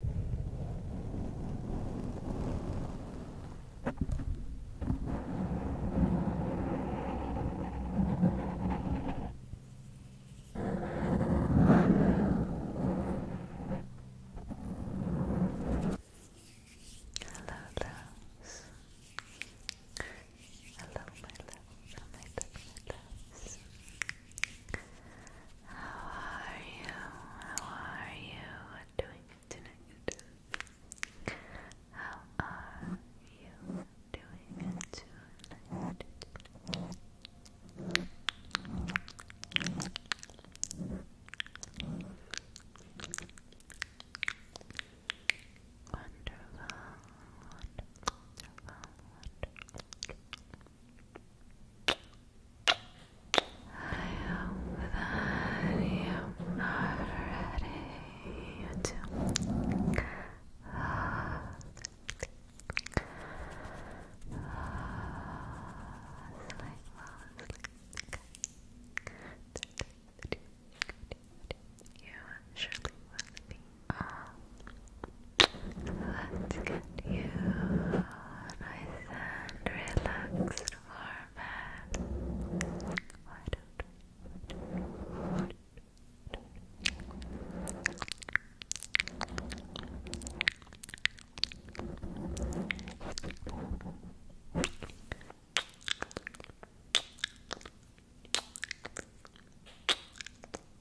Hello, loves. Hello, my love, my love, my loves. How are you? How are you doing tonight? How are you doing tonight? Wonderful, wonderful, wonderful, wonderful. I hope that you are ready to You surely will be Let's get you nice and relaxed for bed.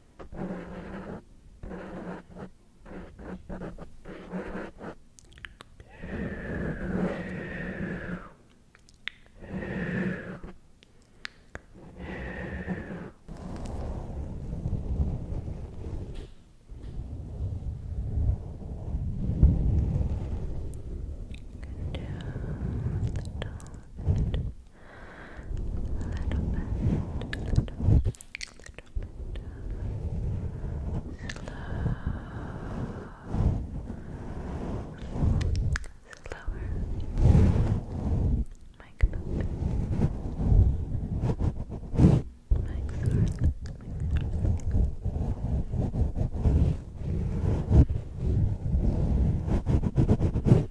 Down the top a little bit, a little bit, a little bit. Slow, slower. Mic bumping. Mic swirling, mic swirling. Mic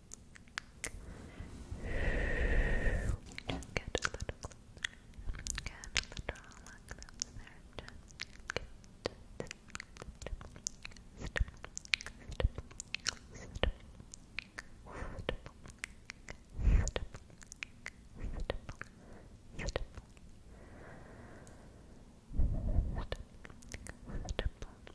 Just get a little closer. Get a little lot closer. Just get step, step, step, step, step, step, step, step,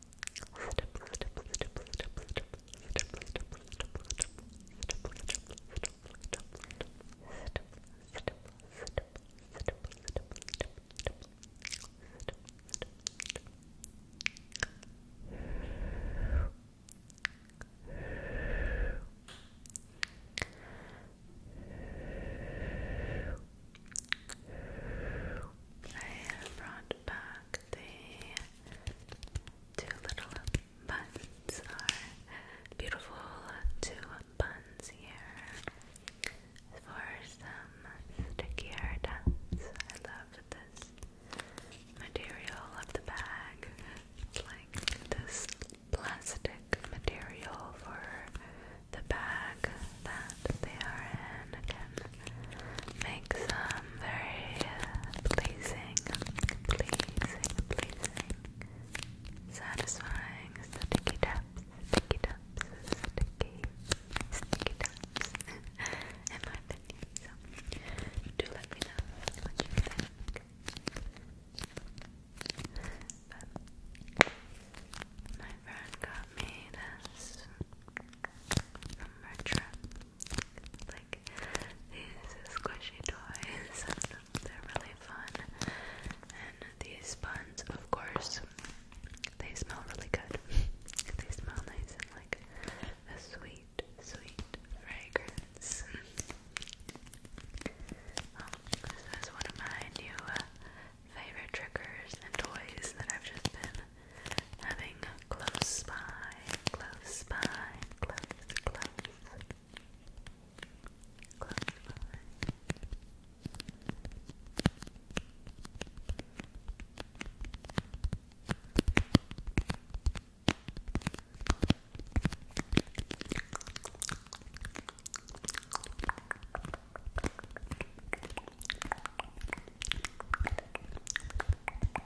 I brought add back the two little buns are beautiful two buns here for some stickier dots. I love this material of the bag. It's like this plastic material for the bag that they are in. Again, make some very pleasing, pleasing, pleasing, satisfying sticky taps, sticky taps, sticky, sticky taps, my opinion. do let me know what you think. But my friend got me this from her trip like these squishy toys. They're really fun. And these buns, of course, they smell really good. they smell nice and like a sweet, sweet fragrance. Oh, this is one of my new uh, favorite triggers and toys that I've just been having close by, close by, close, close, close by.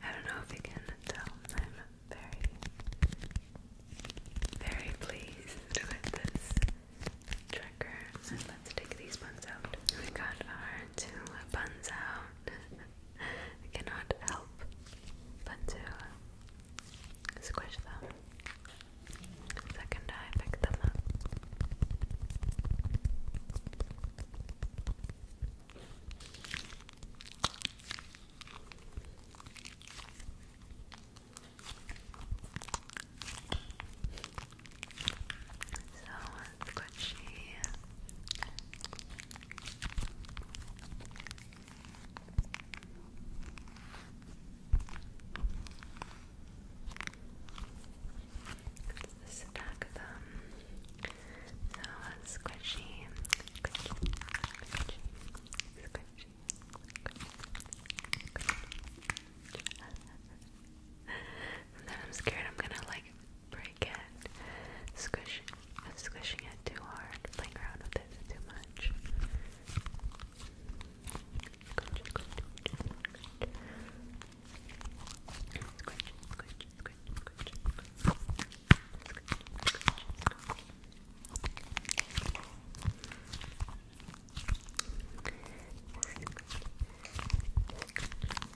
I don't know if you can tell, I'm very, very pleased with this trigger. And let's take these buns out. We got our two buns out. I cannot help but to uh, squish them. second I pick them so squishy. This them. So squishy. then I'm scared I'm gonna like break my cat squishing, squishing it too hard, playing around with it too much.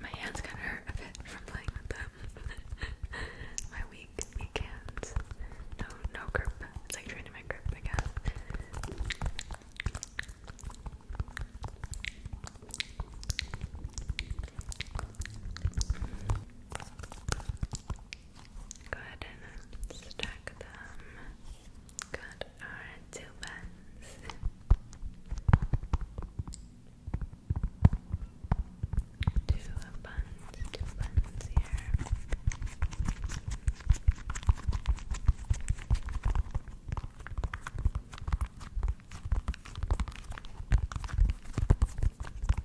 My hands kind of hurt a bit from playing with them. My weak, weak hands. No, no grip. It's like trying to grip, I guess. Go ahead and stack them. Got our two pens. Two buns, two buns here.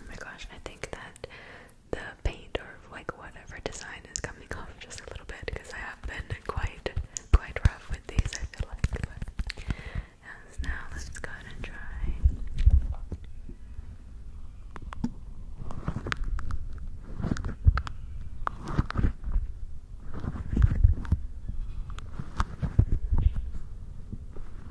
Oh my gosh, I think that the paint or like whatever design is coming off just a little bit because I have been quite quite rough with these I feel like. But now let's go ahead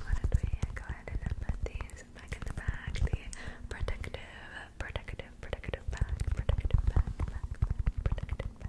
Why do we go ahead and put these back in the bag, the protective protective, protective bag, protective bag, bag, bag, protective bag.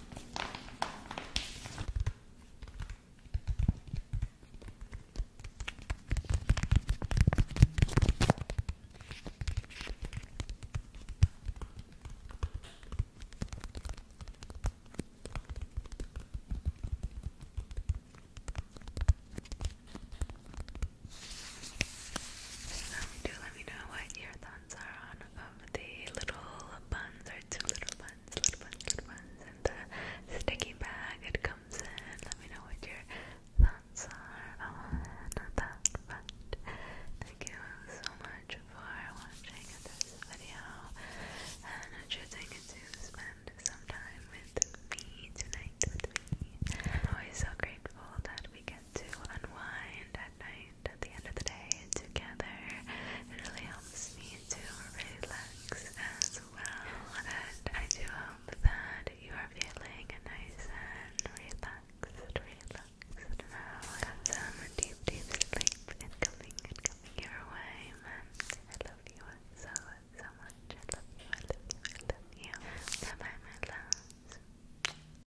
Let me do, let me know what your thoughts are on of the little buns, or two little buns, little buns, little buns, and the sticky bag it comes in. Let me know what your thoughts are on that front. Thank you so much for watching this video and choosing to spend some time with me tonight with me. I'm always so grateful that we get to unwind at night at the end of the day together. It really helps me to relax as well. And I do hope that you are feeling nice and relaxed, relaxed now. some um, deep, deep sleep incoming, incoming your way. I love you so, so much. I love you, I love you, I love you. bye my love.